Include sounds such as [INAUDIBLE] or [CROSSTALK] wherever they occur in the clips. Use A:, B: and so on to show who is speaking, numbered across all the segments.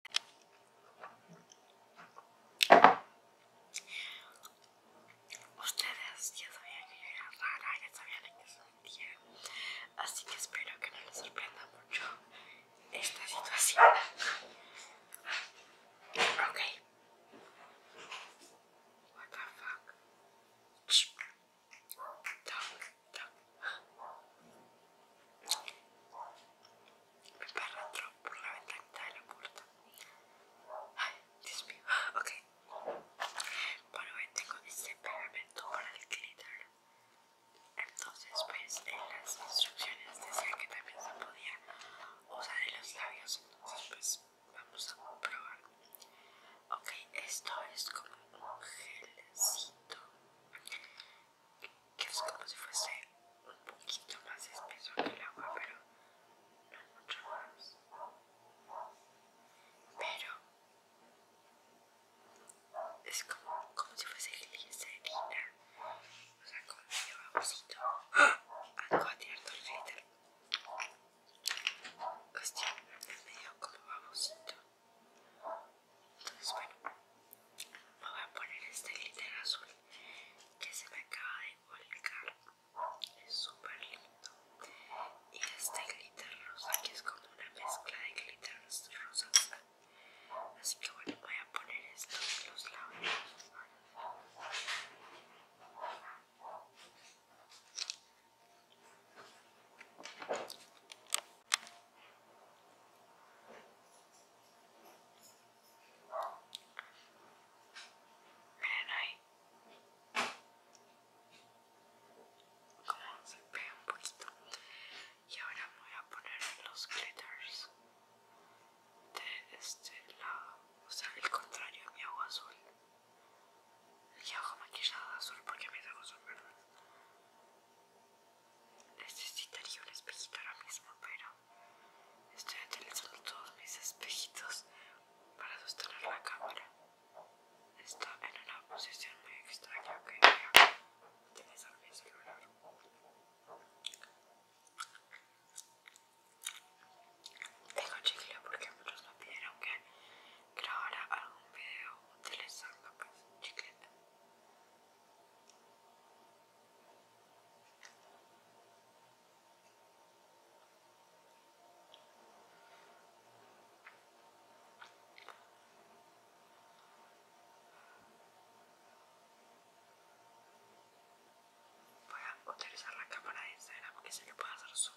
A: Ustedes ya sabían que yo era rara, ya sabían que qué sentía, así que espero que no les sorprenda mucho esta situación. Ok. What the fuck? Shh. Talk, me entró por la ventanita de la puerta. Ay, Dios mío. Ok. Bueno, hoy tengo este pegamento para el glitter. Entonces, pues en las instrucciones decía que también se podía usar en los labios. Entonces, pues vamos a probar. Ok, esto es como un gelcito que es como si fuese un poquito más espeso que el agua, pero no mucho más. Pero es como, si fuese glicerina, o sea, como medio babosito. [GASPS] Algo a tirar el glitter. Hostia, es medio como babosito. Entonces, bueno, me voy a poner este glitter azul que se me acaba de volcar. Es súper lindo. Y este glitter rosa que es como una mezcla de glitter rosa, Así que bueno, voy a poner este de los labios. Miren ahí como se pega un poquito y ahora voy a poner los glitters de este lado o sea el contrario mi agua azul mi hago maquillada azul porque mi ojos son verdes Necesitaría un espejito ahora mismo, pero estoy utilizando todos mis espejitos para sostener la cámara. Está en una posición muy extraña que voy a utilizar mi celular. Tengo chicle porque muchos no pidieron que hago un video utilizando pues, chicleta. Voy a utilizar la cámara de Instagram porque se lo puedo hacer zoom.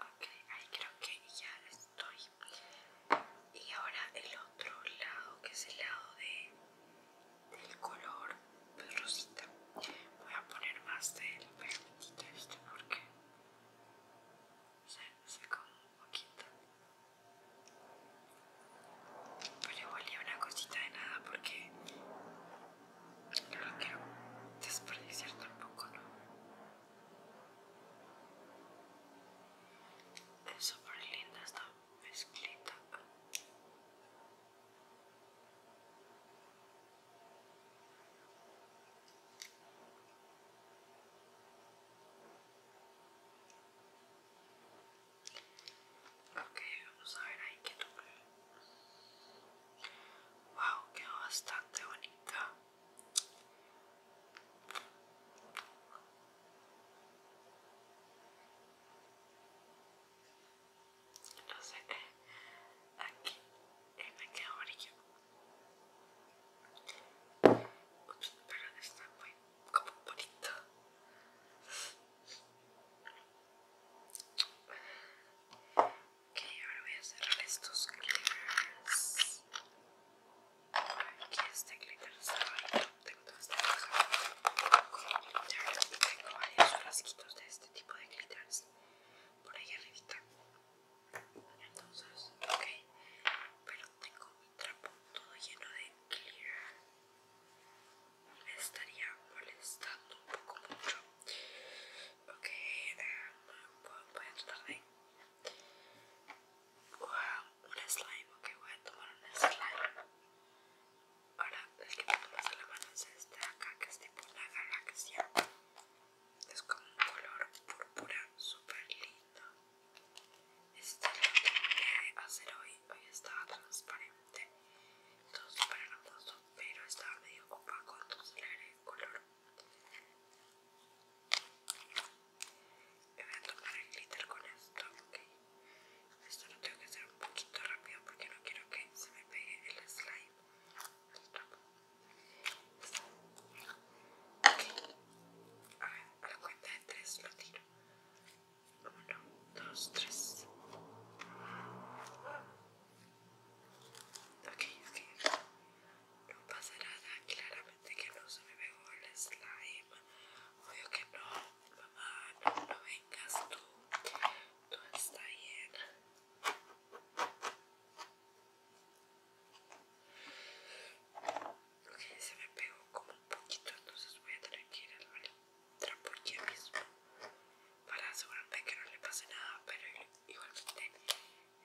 A: Ok, ahí creo que ya estoy. Y ahora el otro lado, que es el lado de, del color rosita. Voy a poner más del pegamentito viste, porque se, se un poquito. Pero igual ni una cosita de nada porque no que quiero desperdiciar tampoco, ¿no? Es súper linda esta mezclita. Ok, vamos a ver ahí que toque. Wow, quedó bastante bonita. No sé, aquí eh, me queda amarillo. Ups, pero está muy como bonito. Ok, ahora voy a cerrar estos glitters. Aquí este glitter está Tengo esta caja con Tengo varios frasquitos de este tipo de glitters por ahí arriba Entonces, ok. Pero tengo mi trapo todo lleno de glitter me estaría molestando un poco mucho. Ok, eh, voy a tratar de... Wow, un slime, ok, voy a tomar un slime. Ahora, el que me tomas a la mano es este de acá, que es tipo una galaxia. Es como un color púrpura, súper lindo. este que voy a hacer hoy hoy estaba transparente, todo súper hermoso, pero estaba medio opaco, entonces le el color. Me voy a tomar el glitter con esto, ok. Esto lo tengo que hacer un poquito rápido porque no quiero que se me pegue el slime. a ver, a la cuenta de tres lo tiro. Uno, dos, tres. Ok, es no pasa nada. Claramente que no se me pegó el slime. Obvio que no. Mamá, no, vengas tú. tú estás bien que se me pegó como un poquito, entonces voy a tener que ir al trapo aquí mismo para asegurarme que no le pase nada, pero igualmente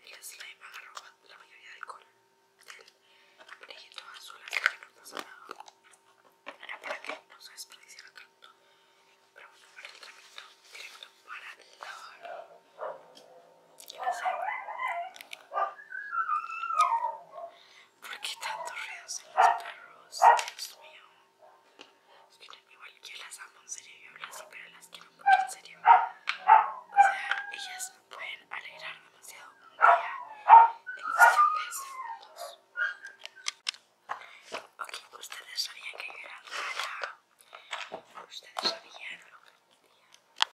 A: el slime agarró la mayoría del color del brillito azul, así que no pasa nada. Era para que no se desperdiciara tanto, pero bueno, para el tratamiento directo para lavar no pasa? ¿Por qué tantos ruidos en los perros? Dios mío. Es que igual que las amo en serio, yo hablo así, pero las quiero mucho en serio. O sea, ellas me pueden alegrar demasiado un día en cuestión de segundos. Ok, ustedes sabían que yo era rara. Ustedes sabían lo que día.